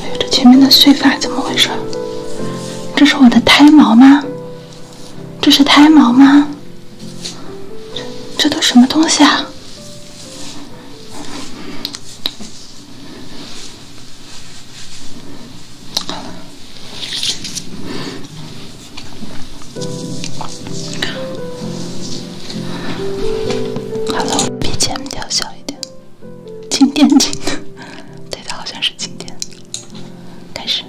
哎，这前面的碎发怎么回事？这是我的胎毛吗？这是胎毛吗？这这都什么东西啊？Hello，BGM 调小一点，晴天晴的，对的，好像是晴天。开始，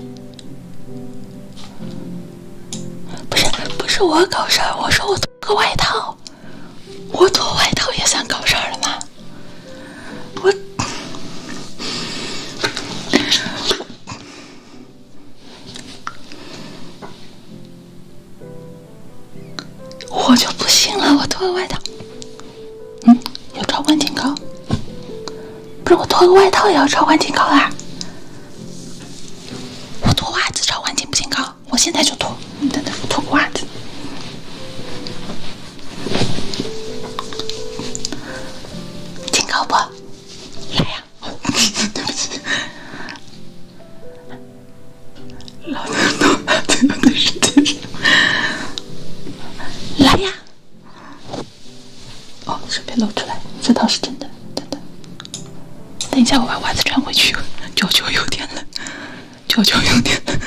不是不是我搞事儿，我说我脱个外套，我脱外套也算搞事儿了吗？我。我就不信了，我脱个外套，嗯，有超挺警告。是我脱个外套也要超宽警告啊？我脱袜子超环警不警告？我现在就脱，你等等我脱个袜子，警告不？来呀，对不起。老娘动了，对不是对不来呀！哦，这边露出来，这倒是真的，真的。等一下，我把袜子穿回去，脚脚有点冷，脚脚有点冷。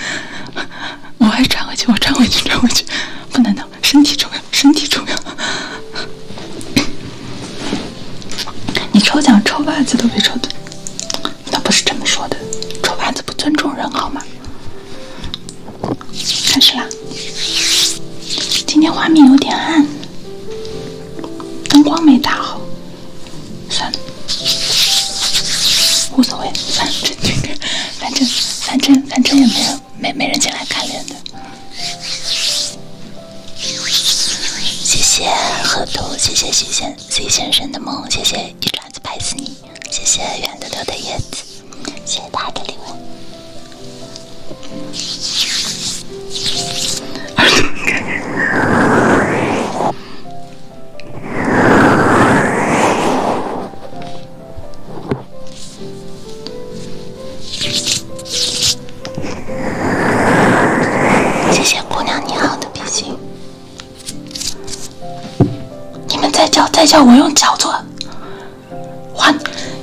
我还穿回去，我穿回去，穿回去，不能等，身体重要，身体重要。你抽奖抽袜子都比抽的。那不是这么说的，丑八子不尊重人好吗？开始啦，今天画面有点暗，灯光没打好，算了，无所谓，反正反正反正反正也没人没没人进来看脸的。谢谢河图，谢谢徐先徐先生的梦，谢谢一爪子拍死你，谢谢圆溜溜的叶子，谢谢大家的礼物。谢谢姑娘，你好的比心。你们再叫再叫，我用脚做。完，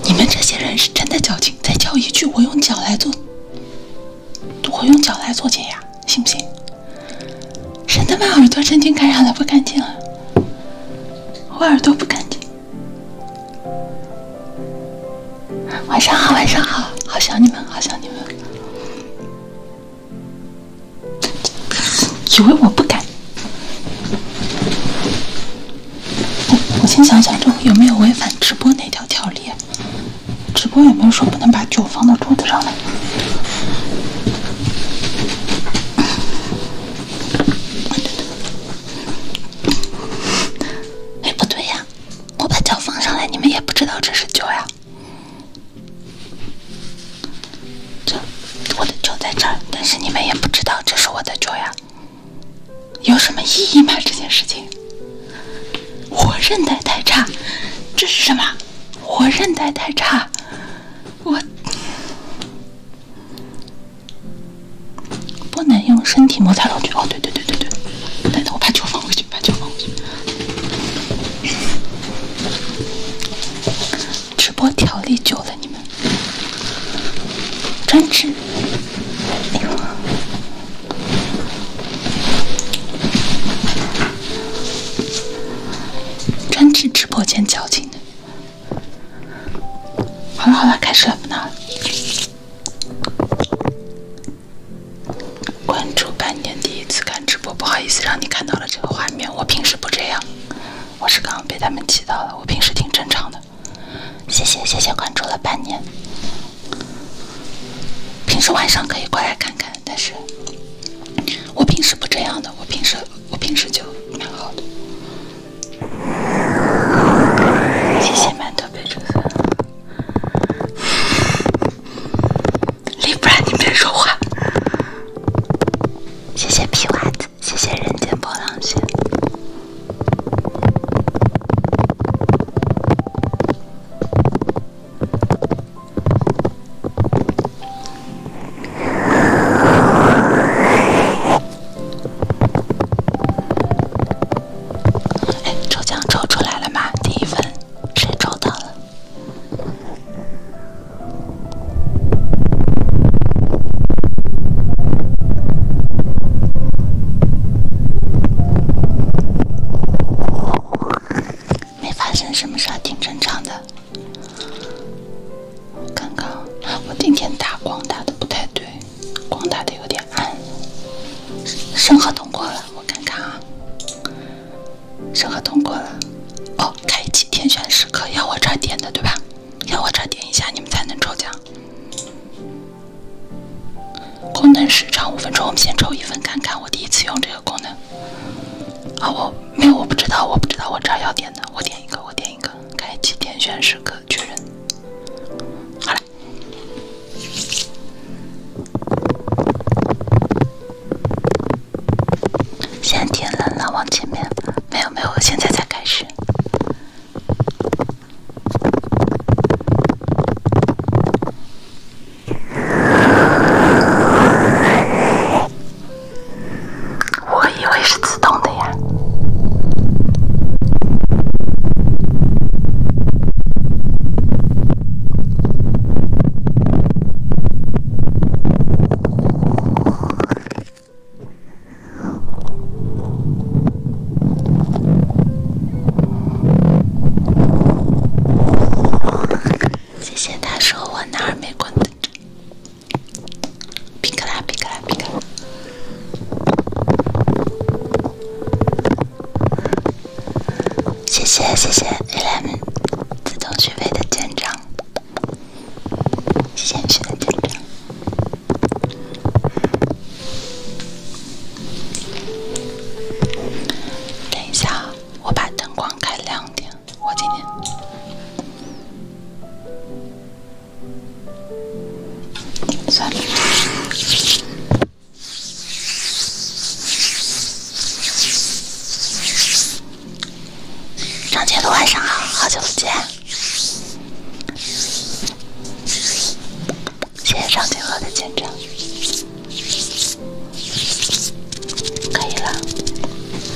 你们这些人是真的矫情。再叫一句，我用脚来做，我用脚来做解压，行不行？谁他妈耳朵神经感染了不干净了？我耳朵不干净。晚上好，晚上好，好想你们，好想你们。以为我不敢。我我先想想，这有没有违反直播那条条例？直播有没有说不能把酒放到桌子上来？哎，不对呀。我把脚放上来，你们也不知道这是脚呀。这我的脚在这儿，但是你们也不知道这是我的脚呀。有什么意义吗？这件事情。我韧带太差。这是什么？我韧带太差。我不能用身体摩擦上去。哦，对对对对对，等等，我把酒放回去。把脚放进去。直播调理救了，你们专治，哎呦，专治直播间矫情的。好了好了，开始。了，不闹了。关注半年第一次看直播，不好意思让你看到了这个画面。我平时不这样，我是刚刚被他们气到了。我平时挺正常的，谢谢谢谢关注了半年。平时晚上可以过来看看，但是我平时不这样的。我平时我平时就蛮好的，谢谢馒头杯竹子。李不然，你别说话。谢谢皮袜子，谢谢人间波浪线。哎，抽奖抽出来了吗？第一份。谁撞到了？没发生什么事儿，挺正常的。刚刚我今天打光打的不太对，光打的有点。哎，审核通过了，我看看啊。审核通过了，哦，开启天选时刻要我这儿点的对吧？要我这儿点一下你们才能抽奖。功能时长五分钟，我们先抽一份看看。我第一次用这个功能，啊，我没有，我不知道，我不知道我这儿要点的，我点一个，我点一个，开启天选时刻确认。好了。现在天冷了，往前面，没有没有，我现在才开始。我以为是自动的呀。谢谢大叔，我那二米光谢谢谢谢 l e 自动续费的站长，先续的站长。等一下，我把灯光开亮点，我今天算了。张杰的晚上好，好久不见，谢谢张杰哥的见证，可以了。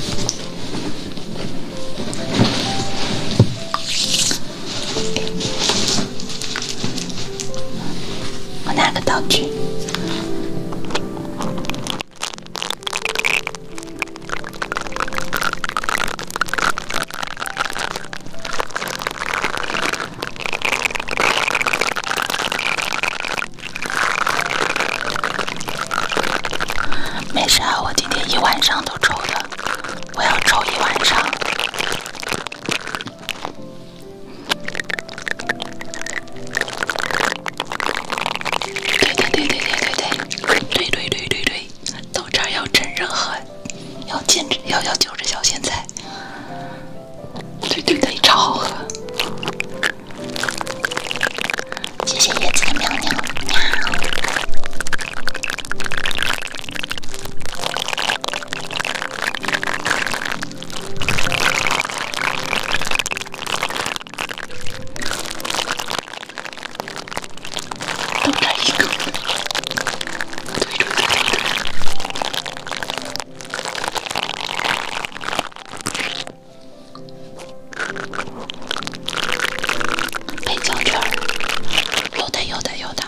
我拿个道具。没事啊，我今天一晚上都抽的，我要抽一晚上。对对对对对对对，对对对对对，到这要真人喝，要坚持要要嚼着小咸菜，对对对，超好喝。谢谢叶子的喵喵喵。配胶卷儿。有有的，有的。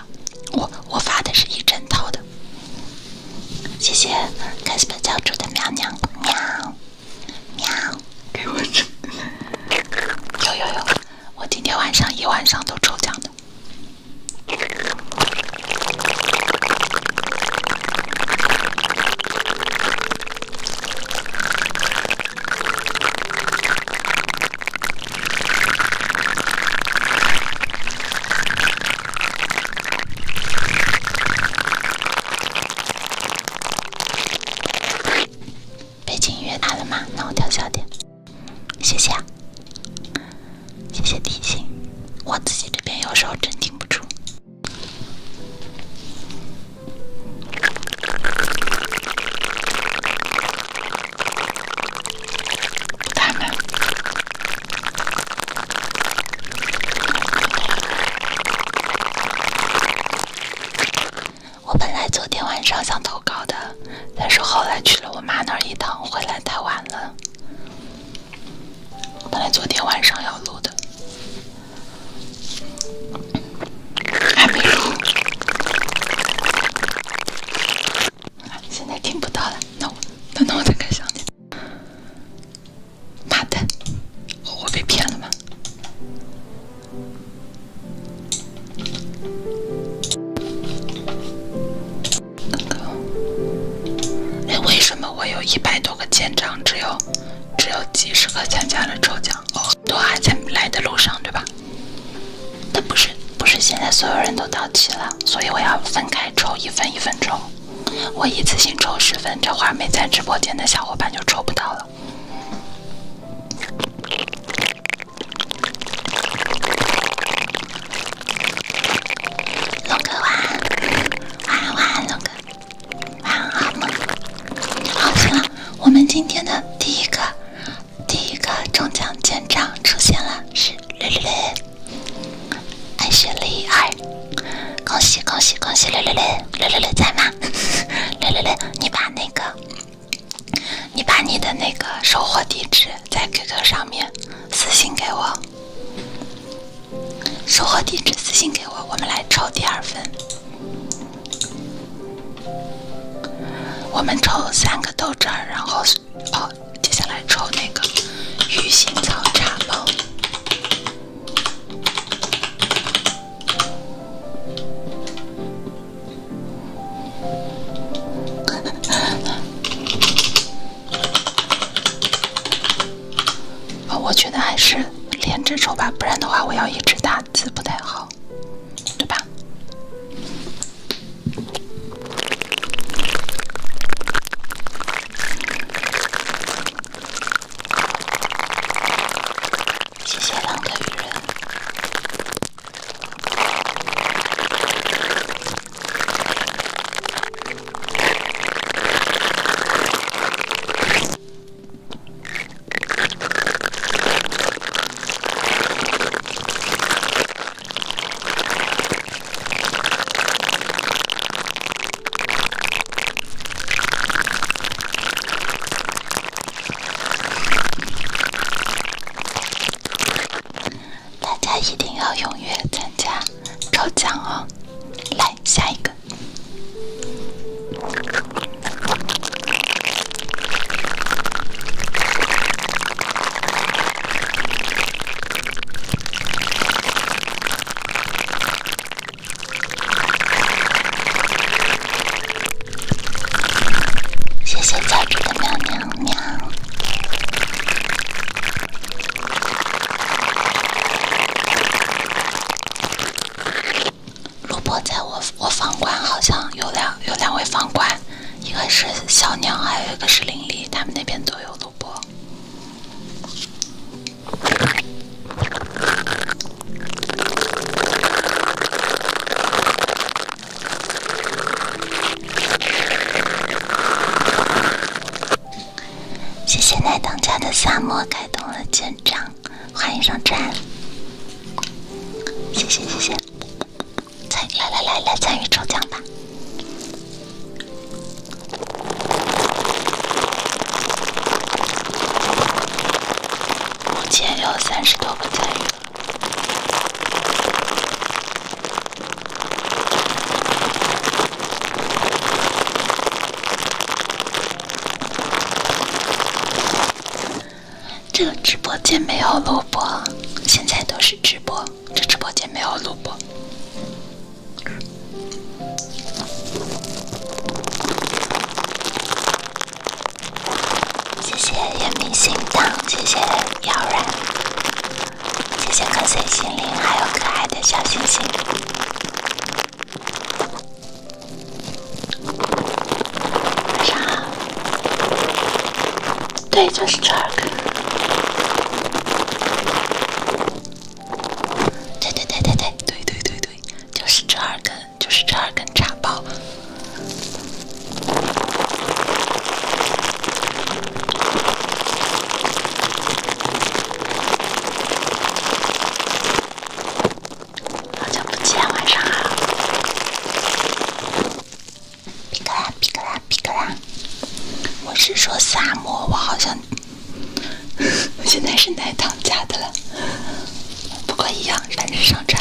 我。我发的是一整套的，谢谢开心小猪的喵喵喵喵，给我抢！有有有！我今天晚上一晚上都抽奖的。背景音乐大了吗？那我调小点，谢谢，啊，谢谢提醒，我自己这边有时候真听不住。他们。我本来昨天晚上想投稿的，但是后来去了我妈那儿一趟，回来太晚了。本来昨天晚上要录的，还没录。现在听不到了，那我，等等我再开箱点。妈的，我被骗了吗？哎，为什么我有一百多个签章，只有只有几十个参加了抽奖，哦，都还在来的路上，对吧？那不是不是现在所有人都到齐了，所以我要分开抽，一分一分抽。我一次性抽十分，这会儿没在直播间的小伙伴就抽不到了。龙哥晚安，晚安晚安龙哥，晚安好梦。好，行了，我们今天的第一个第一个中奖奖章出现了，是绿绿。爱学力二，恭喜恭喜恭喜！六六六六六六在吗？六六六，你把那个，你把你的那个收货地址在 QQ 上面私信给我，收货地址私信给我，我们来抽第二份，我们抽三个豆汁儿，然后。哦，接下来抽那个鱼腥草茶包。哦，我觉得还是连着抽吧，不然的话我要一直打字不太好，对吧？谢谢浪的雨人。大家一定要踊跃参加抽奖哦！来下一个。谢谢乔治的喵喵喵。卢珀在我我房管好像有两有两位房管，一个是小娘，还有一个是林立，他们那边都有卢。波，谢谢奶当家的萨摩开通了舰长，欢迎上船。谢谢谢谢，参来来来来，参与抽奖吧。目前有三十多个参这个直播间没有录播，现在都是直播。这直播间没有录播。谢谢夜明心灯，谢谢妖然，谢谢瞌睡心灵，还有可爱的小星星。晚上好。对，就是这儿。对对对对对对对对就是这二根，就是这二根茶包。好久不见，晚上好。皮格拉，我是说萨摩，我好像现在是奶糖家的了，不过一样，反正上船。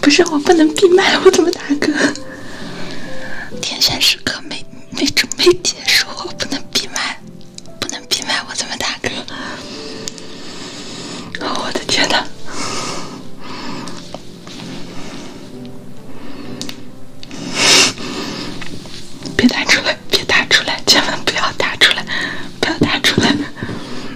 不是我不能闭麦，我怎么打嗝？天选时刻没没没结束，我不能闭麦，不能闭麦，我怎么打嗝？我的天呐！别打出来，别打出来，千万不要打出来，不要打出来！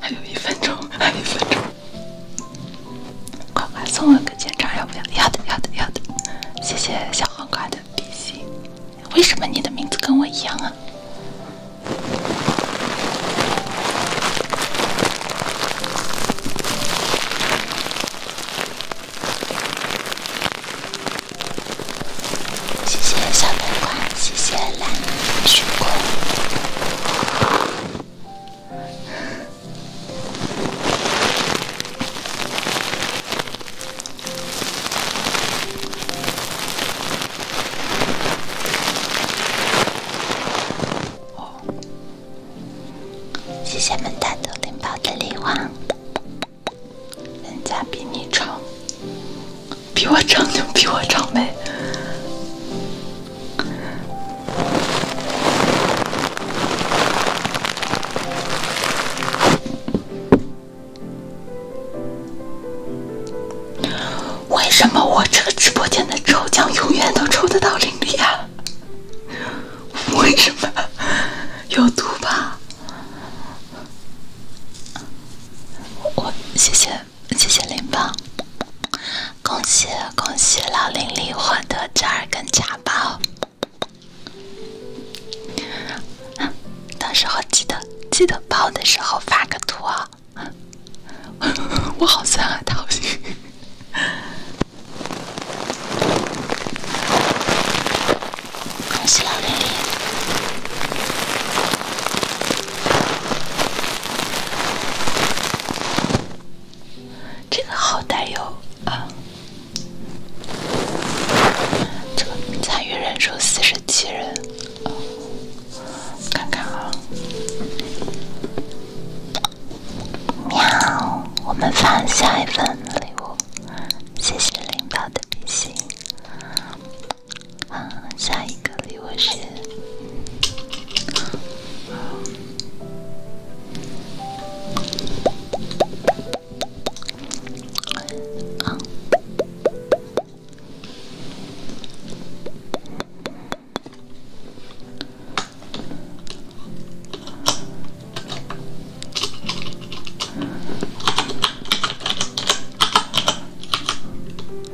还有一分钟，还有一分钟。呱呱送我个签章，要不要？要的，要的，要的。谢谢小黄瓜的比心。为什么你的名字跟我一样啊？谢谢小南瓜，谢谢蓝莓水果。谢谢们大都拎包的礼物，人家比你丑。比我长就比我长呗。为什么我这个直播间的抽奖永远都抽得到零力啊？为什么有毒吧？我谢谢。谢谢林宝，恭喜恭喜老林灵获得折耳根茶包，到时候记得记得包的时候发个图啊，我好酸啊，桃心，恭喜老灵灵。这个好带哟啊！这个参与人数四十七人，看看啊。喵，我们发下一份礼物，谢谢领导的比心。啊，下一个礼物是。这、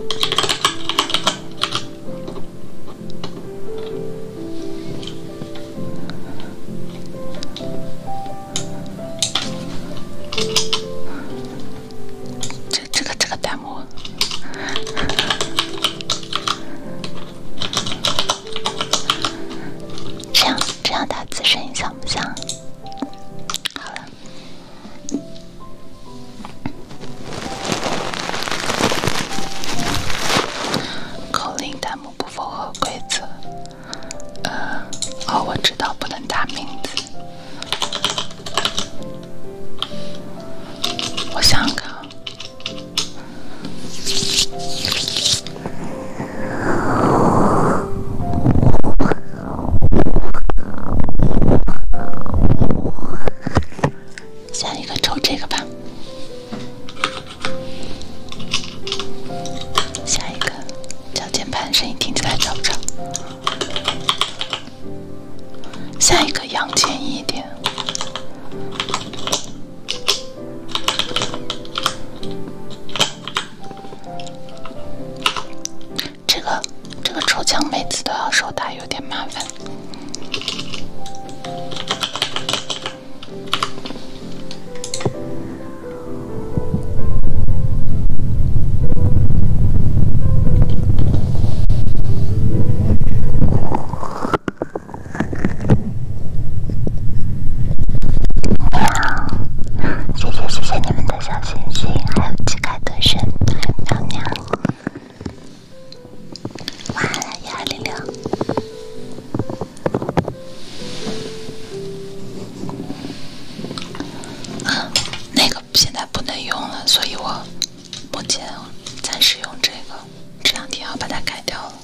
这个、这个弹幕，这样、这样打字声音像不像？好。了。口令弹幕不符合规则，呃，哦，我知道不能打名字。我想想看啊。下一个抽这个吧，下一个敲键盘声音听起来吵不吵？下一个扬前一点。这个这个抽奖每次都要收它，有点麻烦。谢谢你们的小星星，还有机盖蹲神，娘娘。晚安，一二零六。嗯，那个现在不能用了，所以我目前暂时用这个，这两天要把它改掉了。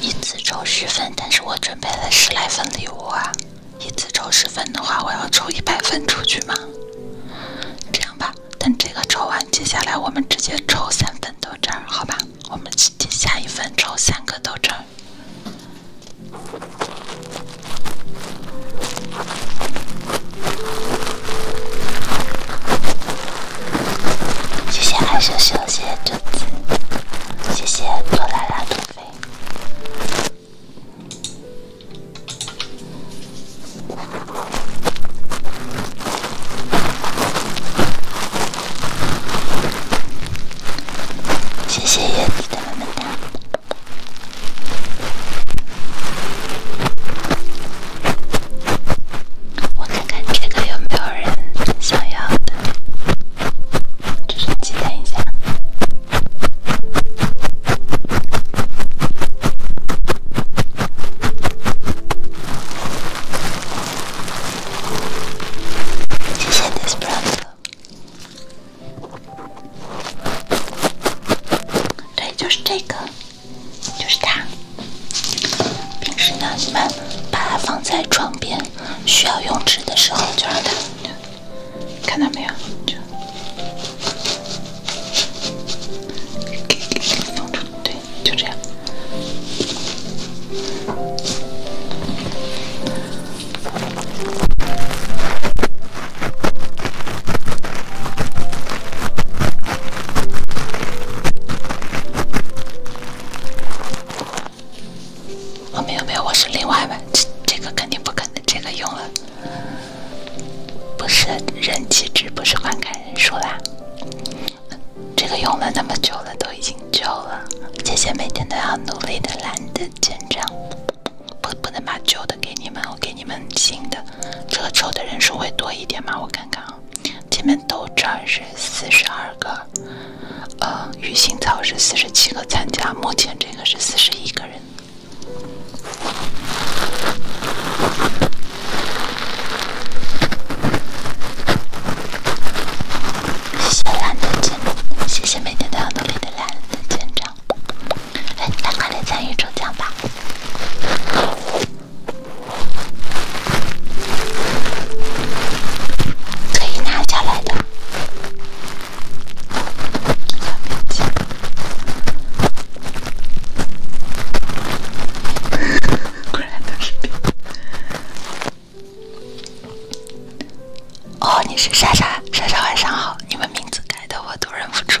一次抽十份，但是我准备了十来份礼物啊。一次抽十份的话，我要抽一百分出去吗？这样吧，等这个抽完，接下来我们直接抽三份豆汁儿，好吧？我们下一份抽三个豆汁儿。谢谢爱秀秀，谢谢兔子，谢谢左拉拉左飞，谢谢叶子的么么哒。我看看这个有没有人想要的，只是纪念一下。谢谢 t h i s b r o t h e r 对，就是这个。就是它，平时呢，你们把它放在床边，需要用纸的时候就让它看到没有，就对，就这样。我没有没有，我是另外的，这这个肯定不可能，这个用了不是人气值，不是观看人数啦。这个用了那么久了，都已经旧了。姐姐每天都要努力的懒得见章，不不能把旧的给你们，我给你们新的。这个抽的人数会多一点吗？我看看啊。前面斗战是四十二个，呃，鱼腥草是四十七个参加，目前这个是四十一个人。谢谢蓝的舰，谢谢每天都要努力的蓝的长。快来参与抽奖吧！可以拿下来的。哦，你是莎莎，莎莎晚上好。你们名字改的我都忍不住。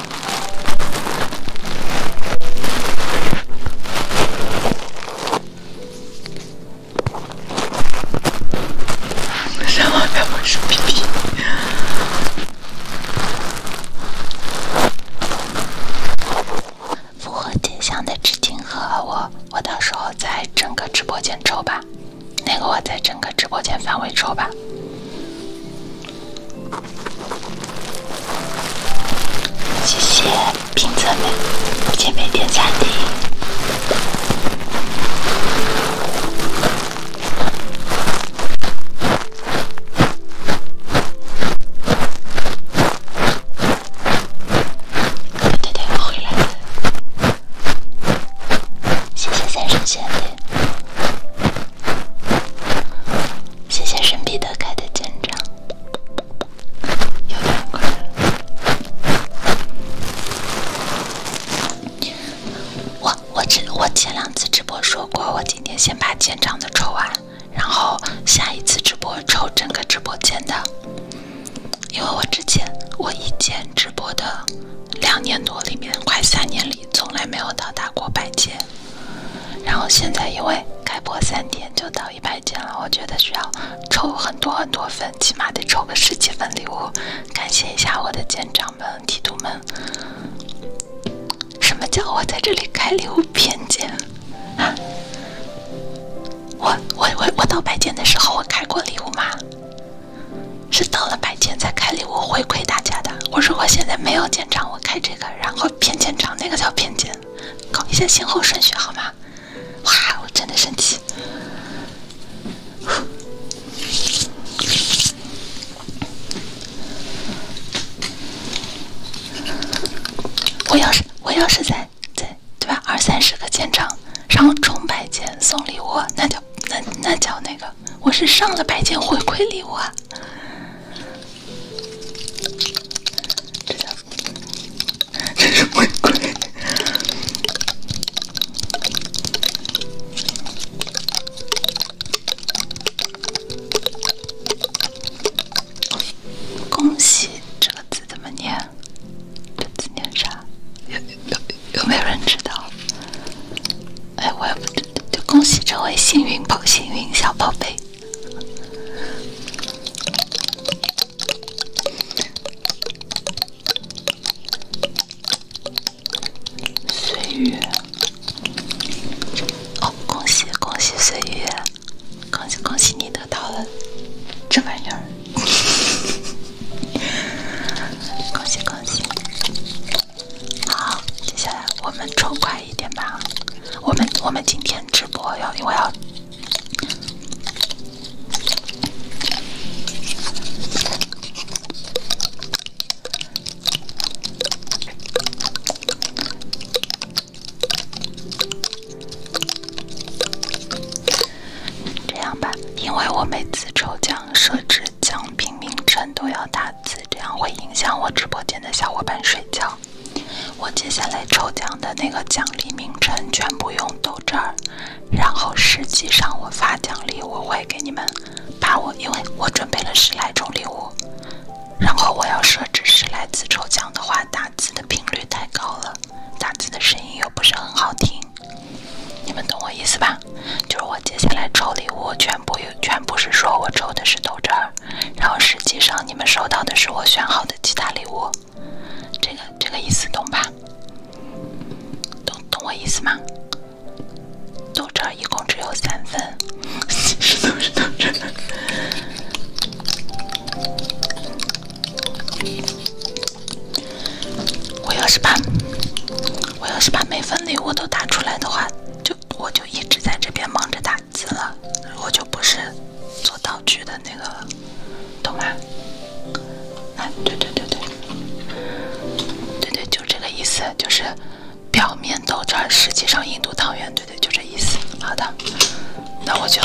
什么？表示逼逼！复直播间抽吧。那个，我在整个直播间范围抽吧。谢谢评测们，姐妹点赞滴。对对我回来了。谢谢三谢谢神秘的开的肩章，有点快我我只我前两次直播说过，我今天先把肩章的抽完，然后下一次直播抽整个直播间的，因为我之前我以前直播的两年多里面，快三年里从来没有到达过百件。然后现在因为开播三天就到一百件了，我觉得需要抽很多很多份，起码得抽个十几份礼物，感谢一下我的舰长们、提督们。什么叫我在这里开礼物偏见？啊？我我我我到白天的时候我开过礼物吗？是到了白天才开礼物回馈大家的。我如果现在没有舰长，我开这个，然后。骗舰长，那个叫骗舰，搞一下先后顺序好吗？哇，我真的生气！我要是我要是在在对吧，二三十个舰长，然后充百舰送礼物，那叫那那叫那个，我是上了百舰回馈礼物。啊。这什么恭喜，这个字怎么念？这字念啥？有有有没有人知道？哎，我也不知。就恭喜这位幸运宝，幸运小宝贝。岁月，恭喜恭喜岁月，恭喜恭喜你得到了这玩意儿，恭喜恭喜。好，接下来我们抽快。一点吧，我们我们今天直播要，我要这样吧，因为我每次抽奖设置奖品名称都要打字，这样会影响我直播间的小伙伴睡觉。我接下来抽奖的那个奖励名称全部用豆汁儿，然后实际上我发奖励我会给你们把我，因为我准备了十来种礼物，然后我要设置十来次抽奖的话，打字的频率太高了，打字的声音又不是很好听，你们懂我意思吧？就是我接下来抽礼物全部有全部是说我抽的是豆汁儿。然后实际上你们收到的是我选好的其他礼物，这个这个意思懂吧？懂懂我意思吗？豆渣一共只有三分，其实都是豆渣。我要是把我要是把每份礼物都打出来的话，就。我就一直在这边忙着打字了，我就不是做道具的那个，懂吗？啊，对对对对，对对，就这个意思，就是表面豆这，实际上印度汤圆，对对，就这意思。好的，那我就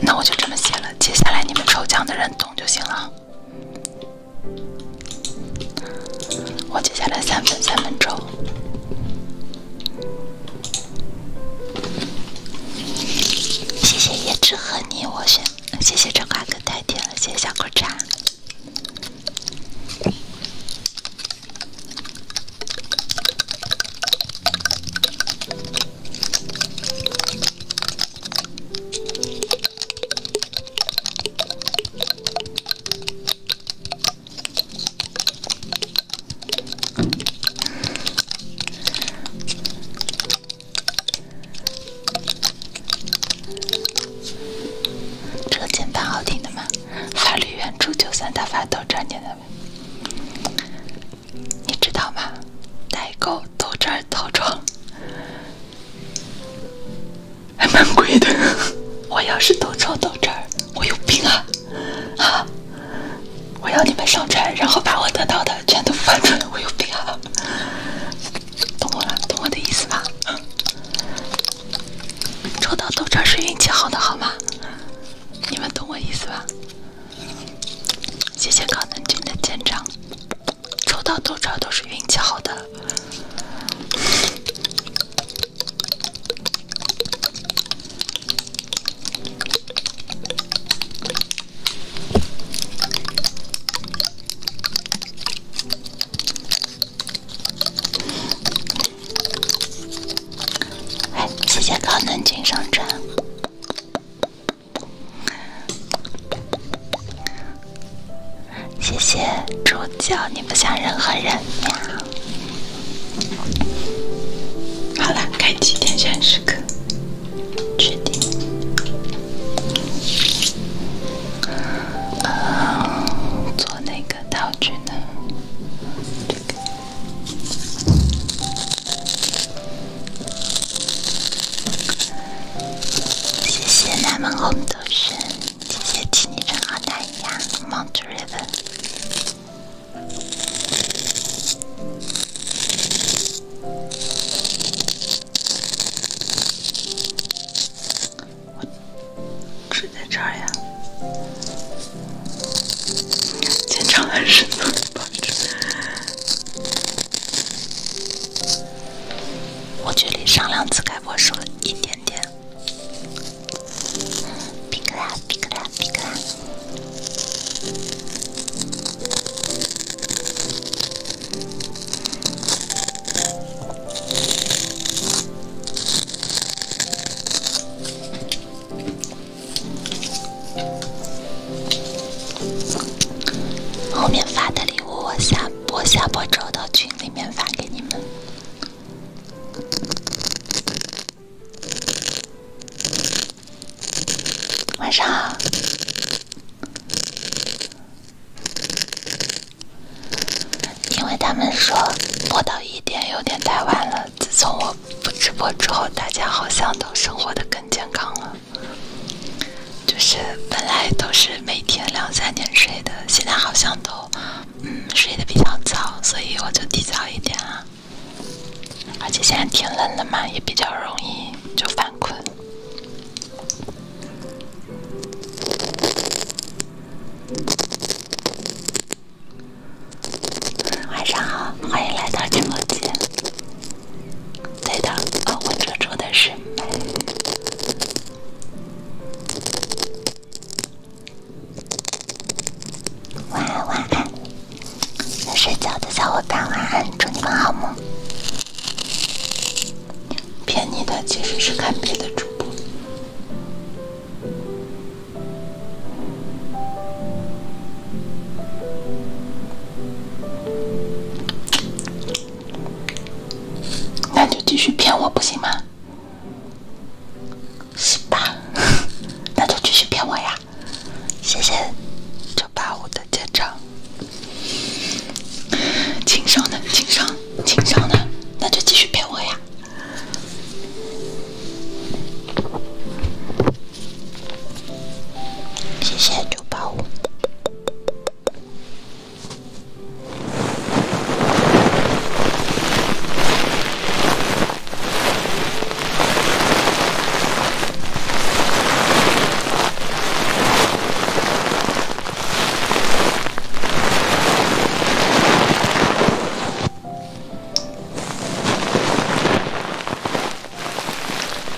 那我就这么写了，接下来你们抽奖的人懂就行了。我接下来三分三分钟。谢谢叶知和你，我选。谢谢春花哥太甜了，谢谢小苦茶。这个键盘好听的吗？法律援助九三大法，豆汁儿的，你知道吗？代购豆汁儿套装还蛮贵的。我要是豆汁儿到这儿，我有病啊！我要你们上传，然后把我得到的全都翻出来。我有病啊！懂我了，懂我的意思吧？抽到豆渣是运气好的，好吗？你们懂我意思吧？谢谢高能君的签长，抽到豆渣都是运气好的。谢谢高能君上传，谢谢猪教，你不像任何人呀。好了，开启天选时刻。确定。呃，做哪个道具呢？这个。谢谢南门红豆轩，谢谢替你成好大利亚，Mountain River。我是在这儿呀，紧张还是呢？我距离上两次开播少了一点点。皮格拉，皮格拉，皮格拉。后面发的礼物我下播下播之后到群里面发给你们。晚上好，因为他们说播到一点有点太晚了。自从我不直播之后，大家好像都生活的更健康了，就是本来都是每天两三点睡的，现在好像都。嗯，睡得比较早，所以我就提早一点啊。而且现在挺冷的嘛，也比较容易就犯困。晚上好，欢迎来到直播间。对的，啊，我遮住的是美。晚安，晚安。要睡觉的小伙伴，晚安，祝你们好梦。骗你的其实是看别的主播，那就继续骗我不行吗？是吧？那就继续骗我呀！谢谢九八五的舰长，情商的，情商，情商的，那就继续骗我呀！谢谢九八五。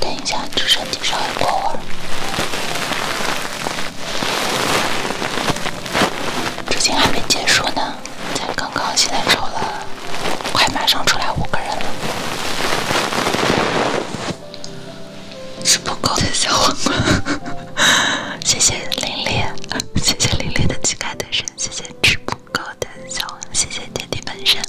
等一下，直升机稍过会儿，之前还没结束呢。才刚刚，现在抽了，快马上出来五个人了。吃不够的小黄瓜，谢谢林林，谢谢林林的乞丐单身，谢谢吃不够的小，谢谢电梯本神。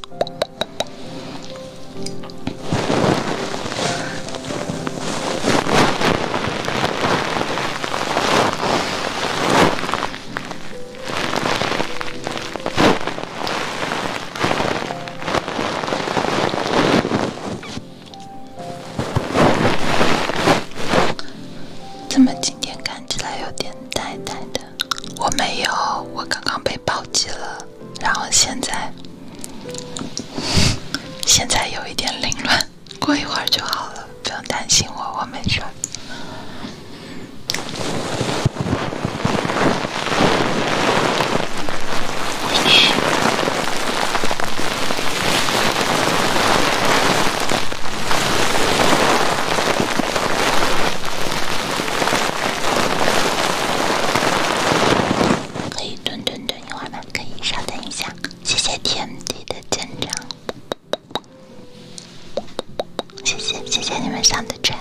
怎么今天看起来有点呆呆的？我没有，我刚刚被暴击了，然后现在现在有一点凌乱。过一会儿就好了，不用担心我，我没事。可以蹲蹲蹲，会儿吗？可以稍等一下，谢谢 TMD 的见证。谢谢谢谢你们上的砖。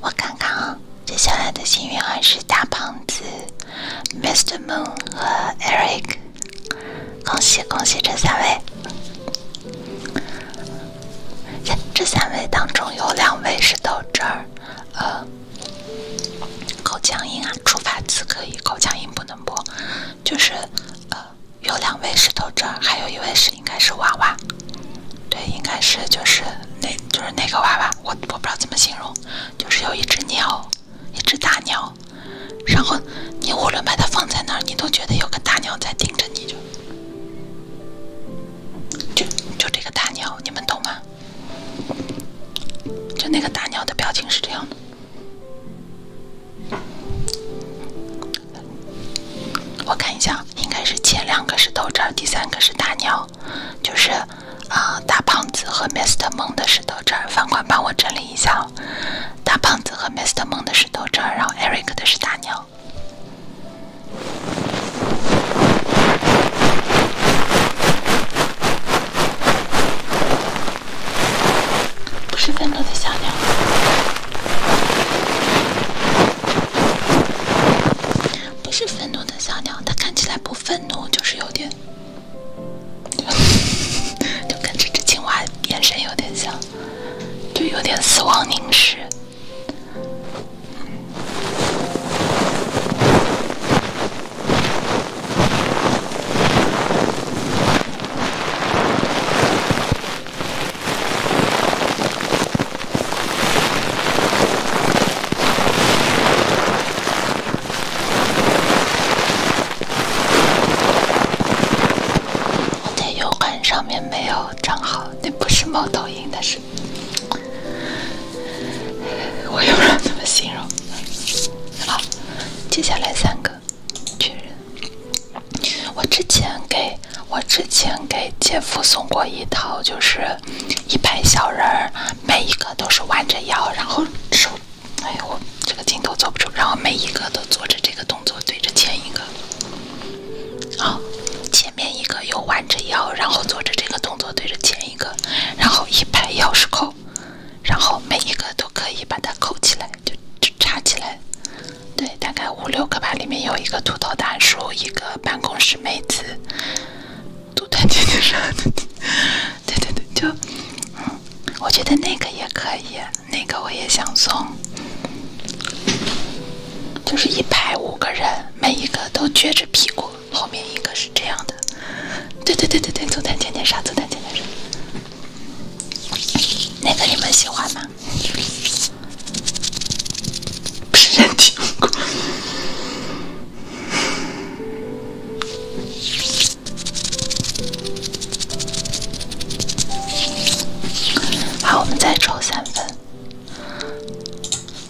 我看看啊。接下来的幸运儿是大胖子、Mr. Moon 和 Eric，恭喜恭喜这三位！这三位当中有两位是豆汁儿，呃，口腔音啊，触发词可以，口腔音不能播，就是呃，有两位是豆汁儿，还有一位是应该是娃娃。对，应该是就是那，就是那个娃娃，我我不知道怎么形容，就是有一只鸟，一只大鸟，然后你无论把它放在哪儿，你都觉得有个大鸟在盯着你，就就就这个大鸟，你们懂吗？就那个大鸟的表情是这样的，我看一下，应该是前两个是汁儿，第三个是大鸟。就是啊，大胖子和 Mister 梦的石头这儿，房管帮我整理一下。大胖子和 Mister 梦的石头这儿，然后 Eric 的是大鸟，小鸟。不是愤怒的小鸟，它看起来不愤怒，就是有点，就跟这只青蛙眼神有点像，就有点死亡凝视。我在永恒上面没有账号，那不是猫头鹰的事。我也不知道怎么形容。好，接下来三个确认。我之前给我之前给姐夫送过一套，就是。一排小人儿，每一个都是弯着腰，然后手，哎呦，这个镜头坐不住。然后每一个都做着这个动作，对着前一个。好，前面一个又弯着腰，然后做着这个动作，对着前一个。然后一排钥匙扣，然后每一个都可以把它扣起来，就插起来。对，大概五六个吧，里面有一个秃头大叔，一个办公室妹子。组团天天傻，对对对，就，嗯，我觉得那个也可以，那个我也想送。就是一排五个人，每一个都撅着屁股，后面一个是这样的。对对对对对，组团天天傻，组团天天傻，那个你们喜欢吗？不是人体用过。好，我们再抽三分。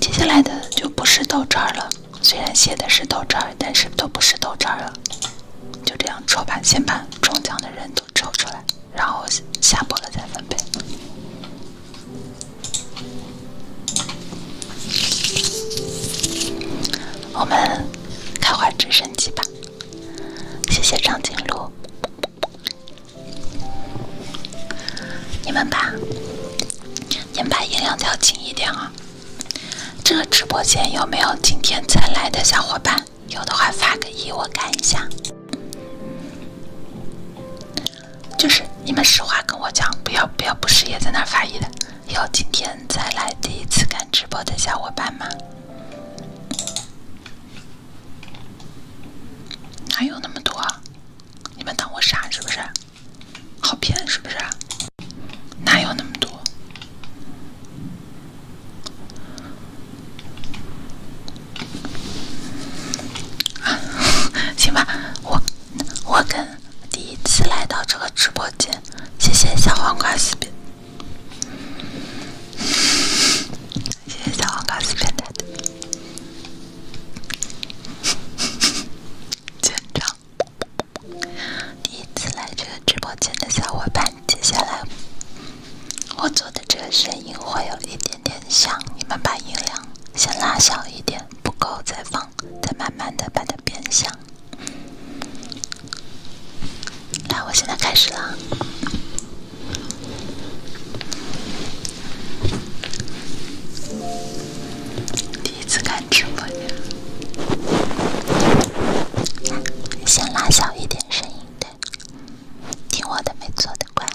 接下来的就不是豆渣了，虽然写的是豆渣，但是都不是豆渣了。就这样抽吧，先把中奖的人都抽出来，然后下播了再分配。我们开滑直升机吧！谢谢长颈鹿，你们吧，你们把音量调轻一点哦。这个直播间有没有今天才来的小伙伴？有的话发个一我看一下。就是你们实话跟我讲，不要不要，不失也在那发言的？有今天再来第一次看直播的小伙伴吗？哪有那么多？你们当我傻是不是？好骗是不是？哪有那么多？啊，行吧，我。我跟第一次来到这个直播间，谢谢小黄瓜四变，谢谢小黄瓜四变态的，见证。第一次来这个直播间的小伙伴，接下来我做的这个声音会有一点点响，你们把音量先拉小一点。不够再放，再慢慢的把它变香。来，我现在开始了。第一次看直播先拉小一点声音，对，听我的，没错的，乖。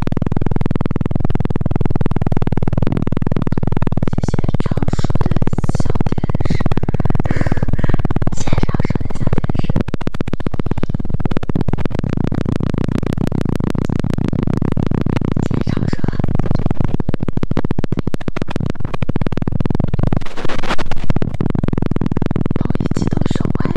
这些常说的小电视，这些常说的小电视，这些常说的，让我一起都说完。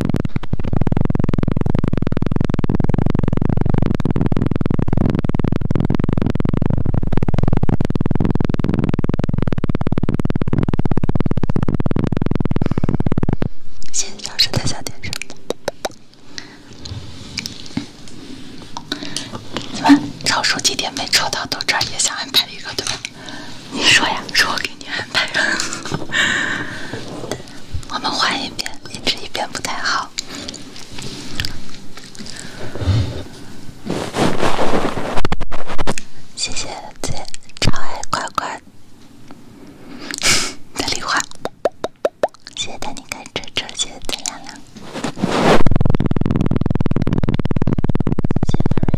现在超叔在小点声。你们超叔今天没抽到豆汁也想安排一个，对吧？你说呀，是我给你安排了。我们换一遍，一直一遍不太好。谢谢姐超爱乖乖的礼花，谢谢带你看车，这些正能量。谢谢粉粉。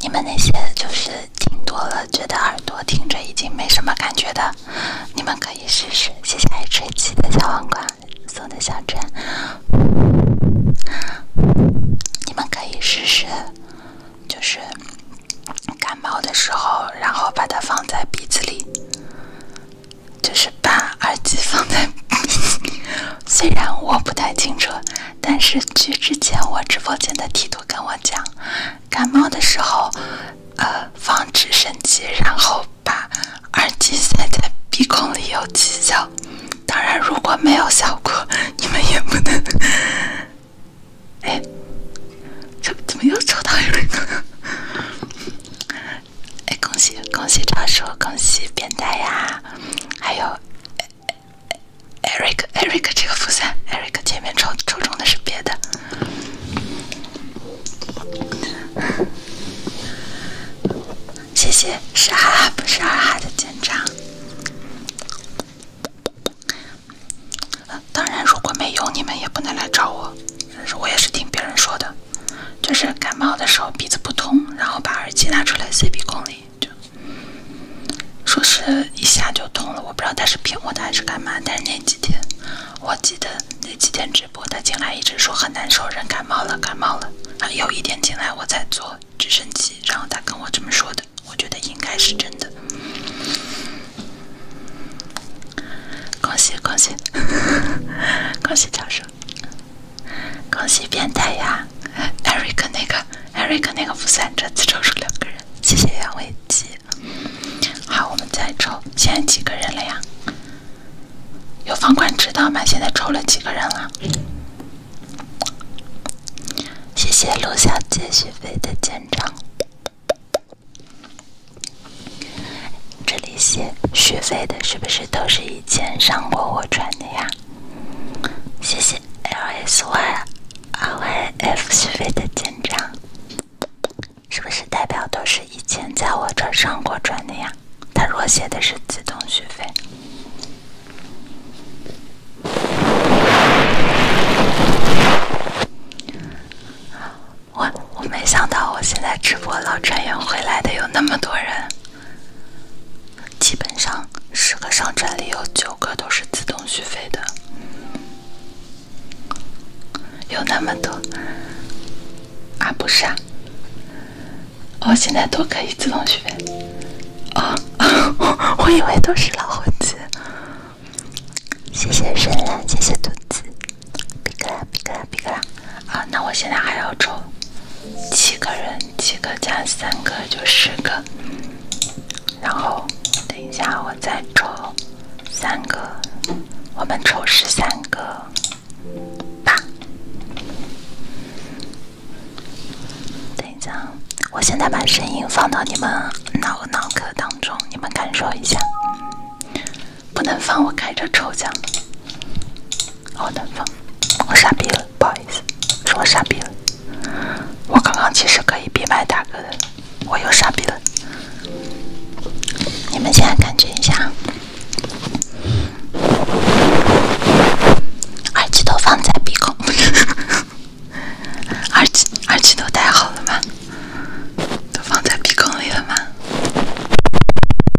你们那些就是听多了，觉得耳朵听着已经没什么感觉的，你们可以试试。谢谢爱吃鸡的小黄瓜送的小锤，你们可以试试，就是感冒的时候，然后把它放在鼻子里。就是把耳机放在，虽然我不太清楚，但是据之前我直播间的提督跟我讲，感冒的时候，呃，放直升机，然后把耳机塞在鼻孔里有奇效。当然如果没有效果，你们也不能。哎，这怎么又抽到一个？哎，恭喜恭喜超叔，恭喜变态呀！还有 Eric Eric 这个复三，Eric 前面抽抽中的是别的。谢谢，是哈哈，不是二哈的见长。当然，如果没有你们也不能来找我，但是我也是听别人说的。就是感冒的时候鼻子不通，然后把耳机拿出来塞鼻孔里，就说是一下就通了。我不知道他是骗我的还是干嘛，但是那几天，我记得那几天直播他进来一直说很难受，人感冒了，感冒了。啊，有一天进来我在坐直升机，然后他跟我这么说的，我觉得应该是真的。恭喜恭喜 恭喜教授！恭喜变态呀，Eric 那个，Eric 那个不算，这次抽出两个人，谢谢杨伟基。好，我们再抽，现在几个人了呀？有房管知道吗？现在抽了几个人了？谢谢陆小姐续费的见章，这里写续费的是不是？都是以前上过我船的呀，谢谢 L S Y R I F 续费的舰长，是不是代表都是以前在我这上过船的呀？他若写的是自动续费，我我没想到我现在直播老船员回来的有那么多人。基本上十个商城里有九个都是自动续费的，有那么多啊？不是啊？哦，现在都可以自动续费。哦，我以为都是老猴子。谢谢神蓝，谢谢兔子，皮格皮格皮格啊，那我现在还要抽七个人，七个加三个就十个，然后等一下我再抽三个，我们抽十三个吧。等一下，我现在把声音放到你们脑脑壳当中，你们感受一下，不能放我开着抽奖。好难放，我傻逼了，不好意思，是我傻逼了。我刚刚其实可以闭麦打歌的，我又傻逼了。你们现在感觉一下，耳机都放在鼻孔，耳机耳机都戴好了吗？都放在鼻孔里了吗？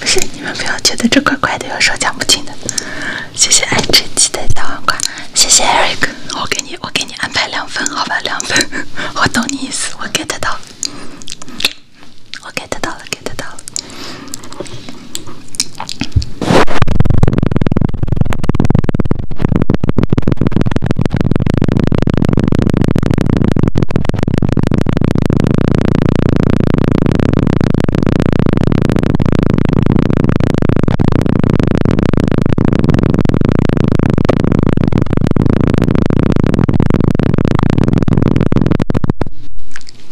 不是，你们不要觉得这怪怪的，有时候讲不清的。谢谢爱吃鸡的小黄瓜，谢谢 Eric，我给你，我给你安排两份，好吧，两份我懂你意思，我 get 到了，我 get 到了，get 到了。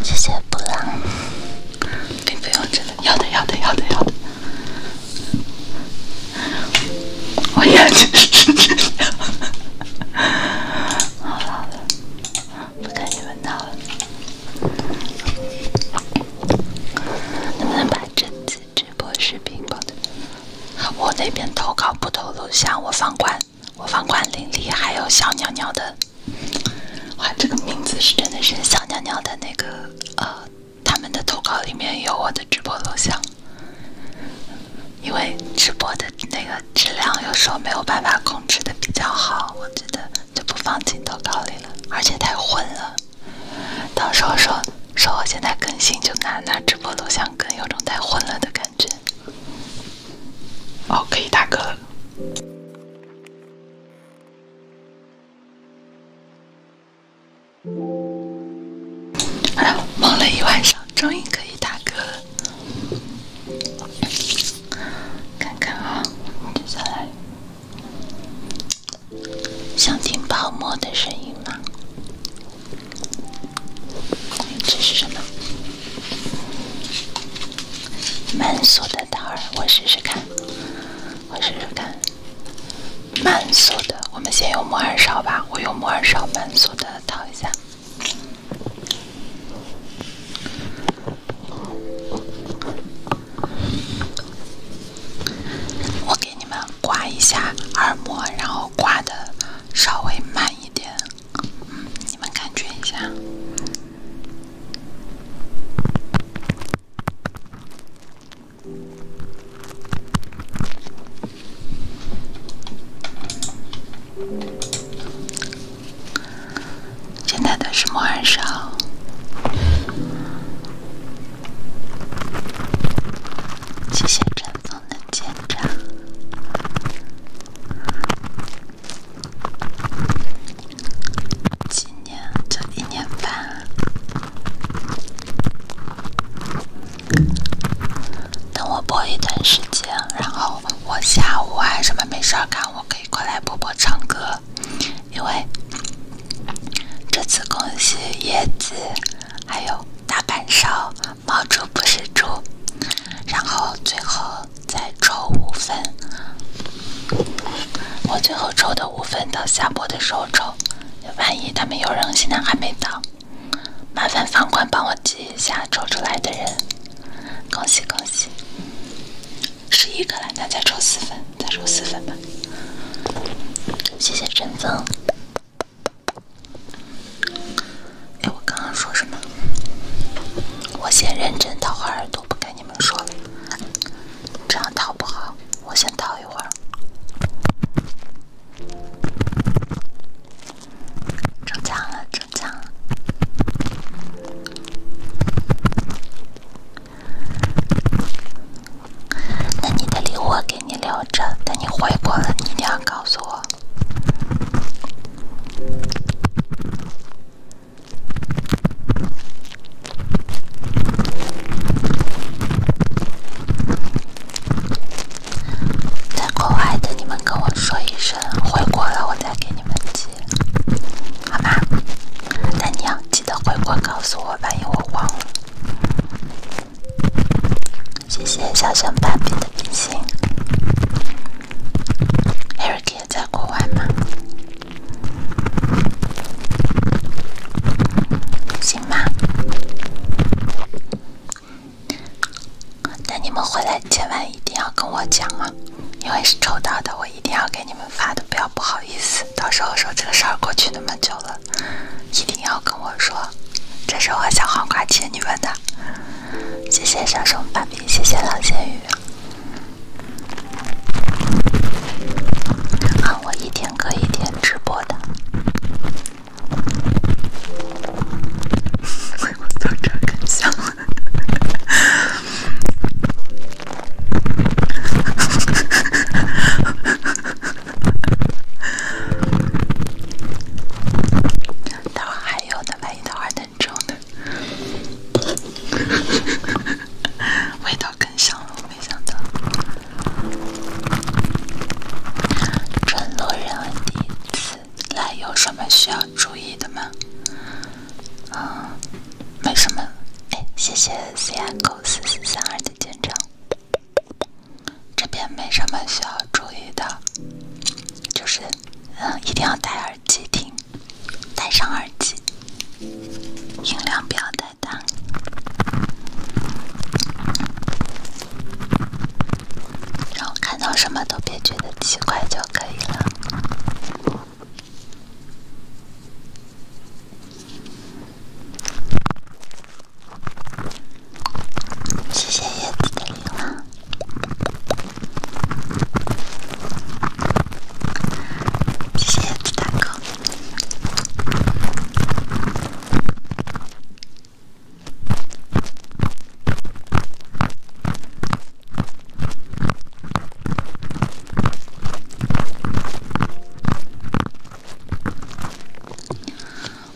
谢谢布朗，并不用真的，要的要的要的要的。我眼睛，哈哈哈！好了，不跟你们闹了。能不能把这次直播视频保存？我那边投稿不投录像，我放管，我放管林立，还有小尿尿的。哇，这个名字是真的是小尿尿的那个呃。他们的投稿里面有我的直播录像，因为直播的那个质量有时候没有办法控制的比较好，我觉得就不放进投稿里了，而且太混了。到时候说说我现在更新，就拿拿直播录像更，有种太混了的感觉。哦，可以大哥。哎，忙了一晚上，终于可以打歌了。看看啊，接下来想听泡沫的声音吗？这是什么？门锁的道儿，我试试看，我试试看。慢速的，我们先用摩耳勺吧。我用摩耳勺慢速的掏一下，我给你们刮一下耳膜，然后刮的稍微慢一点，你们感觉一下。现在的是莫安生。谢谢晨风的检查，纪念这一年半。等我播一段时间，然后我下午啊什么没事儿干，我可以过来播播唱歌。因为这次恭喜叶子，还有大板烧、猫猪不是猪，然后最后再抽五分。我最后抽的五分到下播的时候抽，万一他们有人，现在还没到。麻烦房管帮我记一下抽出来的人，恭喜恭喜，十一个了，那再抽四分，再抽四分吧，谢谢阵增。哎，我刚刚说什么？我先认真掏会耳朵，不跟你们说了，这样掏不好，我先掏一会儿。中奖了，中奖了！那你的礼物我给你留着，等你回国了，你一定要告诉我。在国外的你们跟我说一声，回国了我再给你们寄，好吗？大娘记得回国告诉我，万一我忘了。谢谢小熊斑比的爱心。Erica 在国外吗？行吗？那你们回来千万一定要跟我讲啊，因为是抽到的，我一定要给你们发的，不要不好意思。到时候说这个事儿过去那么久了，一定要跟我说，这是我小黄瓜欠你们的，谢谢小熊爸比，谢谢老仙鱼，看我一天可以一天直播的。味 道都更香更香了。没想到，承诺人第一次来有什么需要注意的吗？啊，没什么。哎，谢谢 Cico 四四三二的见证。这边没什么需要注意的，就是，嗯，一定要戴耳机听，戴上耳机，音量不要大。的，然后看到什么都别觉得奇怪就可以了。谢谢叶子的礼物，谢谢叶子大哥。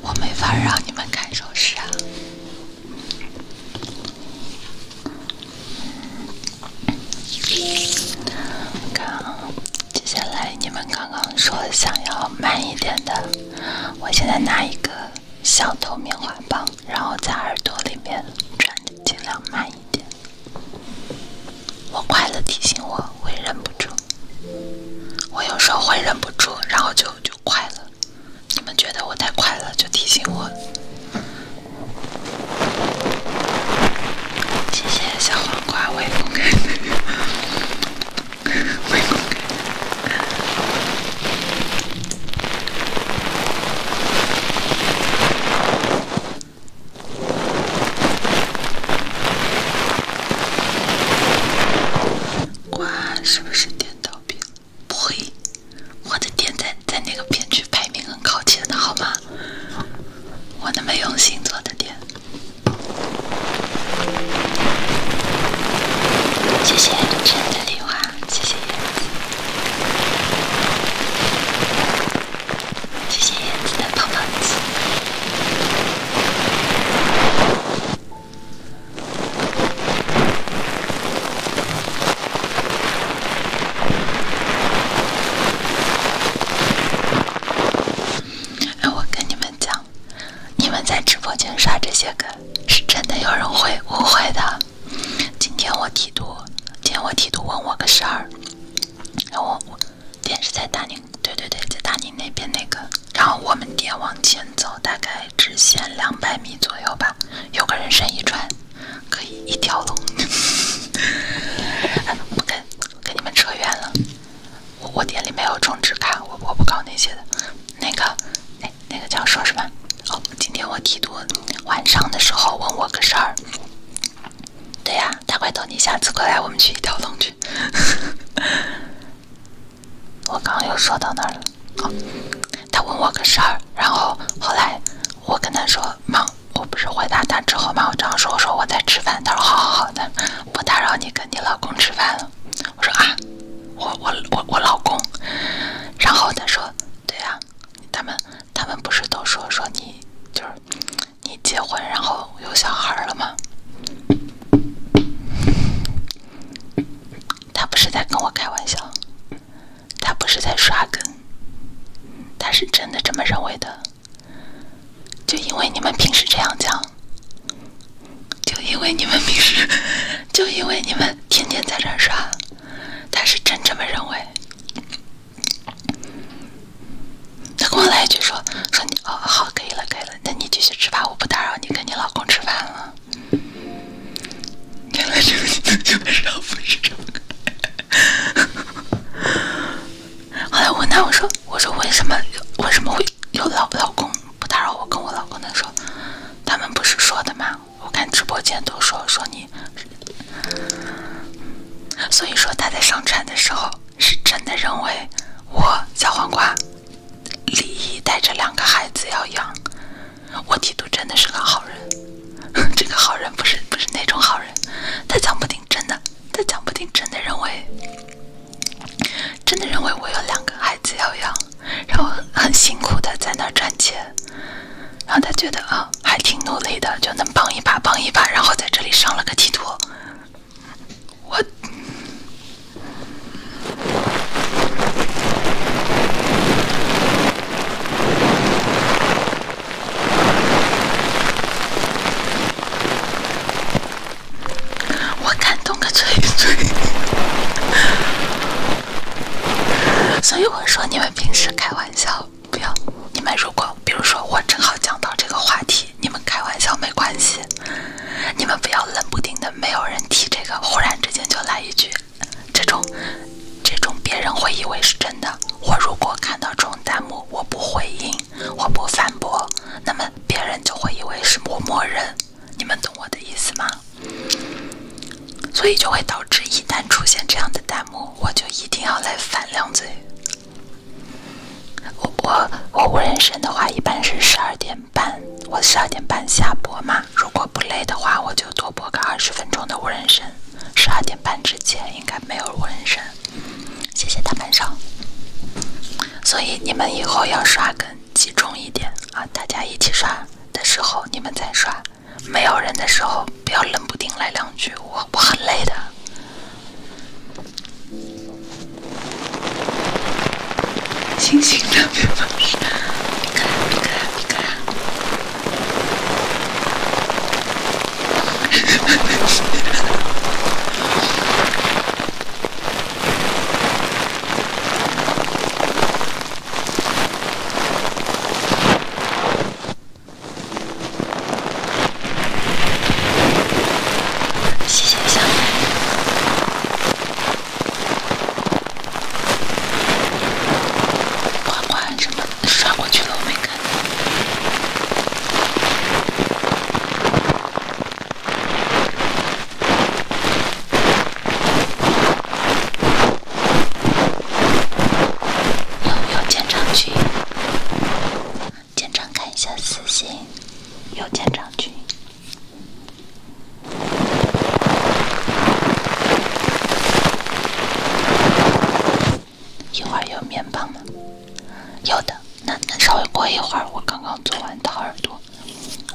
我没法让你们看手势啊，看。接下来你们刚刚说想要慢一点的，我现在拿一个小头棉花棒，然后在耳朵里面转，尽量慢一点。我快乐，提醒我会忍不住。我有时候会忍不住，然后就就快了。你们觉得我太快了，就提醒我。谢谢小黄瓜微风瓜是不是点倒闭？呸！我的点在在那个片区排名很靠前的好吗？我那么用心做的点。谢谢晨的礼物啊，谢谢燕子，谢谢燕子的泡泡机。哎，我跟你们讲。你们在直播间刷这些梗，是真的有人会误会的。今天我提督，今天我提督问我个事儿，然后我店是在大宁，对对对，在大宁那边那个，然后我们店往前走大概直线两百米左右吧，有个人身一穿，可以一条龙。不我跟你们扯远了。我我店里没有充值卡，我我不搞那些的。那个，那那个叫说什么？哦，今天我提督晚上的时候问我个事儿。对呀，他回头你下次过来，我们去一条龙去。我刚刚又说到那儿了。他问我个事儿，然后后来我跟他说忙，我不是回答他之后嘛，我这样说，我说我在吃饭，他说好好的。我打扰你跟你老公吃饭了，我说啊，我我我我老公，然后他说，对呀，他们他们不是都说说你就是你结婚然后有小孩了吗？他不是在跟我开玩笑，他不是在刷梗，他是真的这么认为的。就因为你们平时这样讲，就因为你们平时，就因为你们天天在这刷，他是真这么认为。他跟我来一句说说你哦好可以了可以了，那你继续吃吧，我不打扰你跟你老公吃饭了。原来这个你基本上不是这样。后来我问他我说我说为什么为什么会？有老老公不打扰我，跟我老公的时候，他们不是说的吗？我看直播间都说说你，所以说他在上传的时候是真的认为我小黄瓜李异带着两个孩子要养，我提督真的是个好人，这个好人不是不是那种好人，他讲不定真的，他讲不定真的认为。真的认为我有两个孩子要养，然后很辛苦的在那赚钱，然后他觉得啊，还挺努力的，就能帮一把帮一把，然后在这里上了个梯图。我。我感动个锤锤！所以我说，你们平时开玩笑不要。你们如果，比如说我正好讲到这个话题，你们开玩笑没关系。你们不要冷不丁的没有人提这个，忽然之间就来一句，这种，这种别人会以为是真的。我如果看到这种弹幕，我不回应。我不反驳，那么别人就会以为是我默认，你们懂我的意思吗？所以就会导致一旦出现这样的弹幕，我就一定要来反两嘴。我我我无人声的话一般是十二点半，我十二点半下播嘛。如果不累的话，我就多播个二十分钟的无人声。十二点半之前应该没有无人声，谢谢大晚上。所以你们以后要刷更集中一点啊！大家一起刷的时候你们再刷，没有人的时候不要冷不丁来两句，我我很累的。清醒点！谢谢小妹，有有建章君，建章看一下私信。有建章君，一会儿有面包吗？有的，那那稍微过一会儿，我刚刚做完掏耳朵。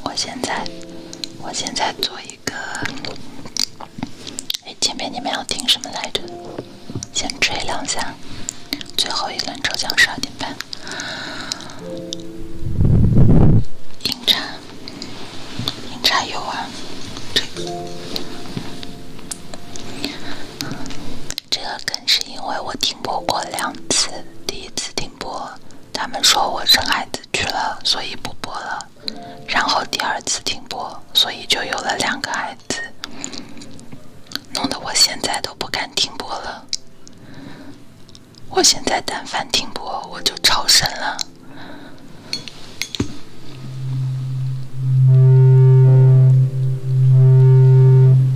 我现在，我现在做一个。哎，前面你们要听什么来着？先吹两下。最后一轮抽奖十二点半。饮茶，饮茶有啊，这个，这个。是因为我停播过两次，第一次停播，他们说我生孩子去了，所以不播了；然后第二次停播，所以就有了两个孩子，弄得我现在都不敢停播了。我现在但凡停播，我就超神了。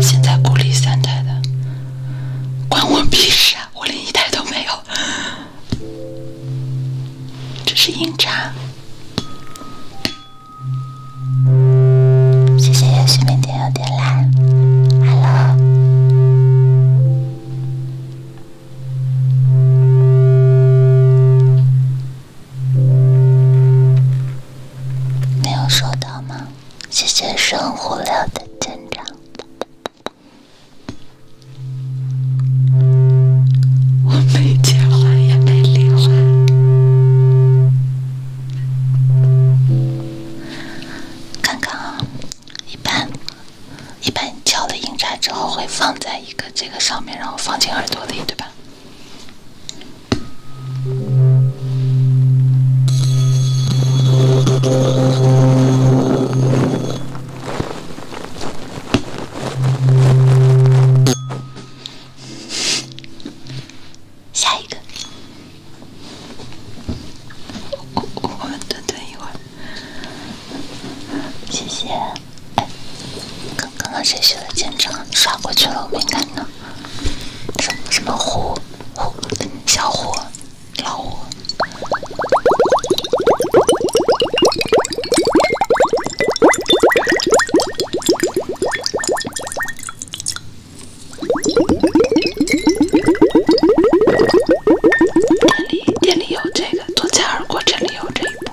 现在鼓励三胎的，关我屁事啊！我连一胎都没有，这是硬茬。谢谢也许明点点来，哈喽。没有收到吗？谢谢生活聊的舰长。我没结婚也没离婚。看看啊，一般一般敲了音叉之后，会放在一个这个上面，然后放进耳朵里，对吧？下一个，我们蹲蹲一会儿，谢谢。哎，刚刚刚谁学的剑招？刷过去了，我没看到。什么什么虎虎小虎老虎？店里店里有这个，剁菜耳过这里有这一步。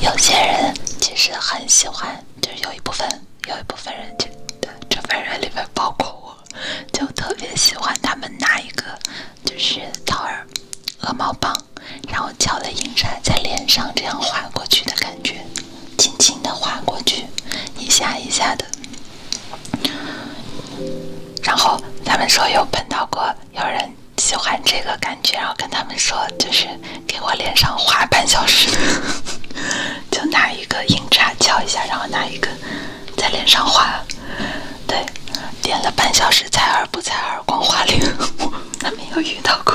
有些人其实很喜欢，就是有一部分，有一部分人，就这部人里面包括我，就特别喜欢他们拿一个就是掏耳鹅毛棒，然后敲了银钗在脸上这样划过去的感觉，轻轻的划过去，一下一下的。然后他们说有碰到过有人喜欢这个感觉，然后跟他们说就是给我脸上画半小时，就拿一个硬叉敲一下，然后拿一个在脸上画，对，点了半小时才而不才耳光花脸，我没有遇到过。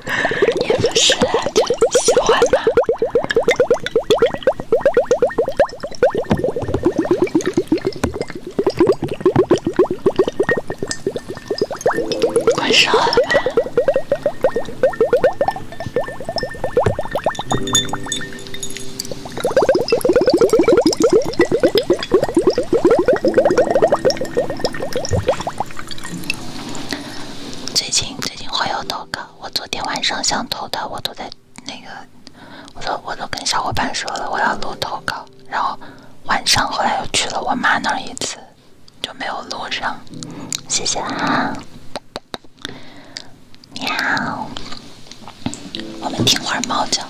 你不是喜欢吗？我收了。最近最近会有投稿，我昨天晚上想投的，我都在那个，我说我都跟小伙伴说了我要录投稿，然后晚上后来又去了我妈那儿一次，就没有录上。谢谢啊，喵，我们听会儿猫叫。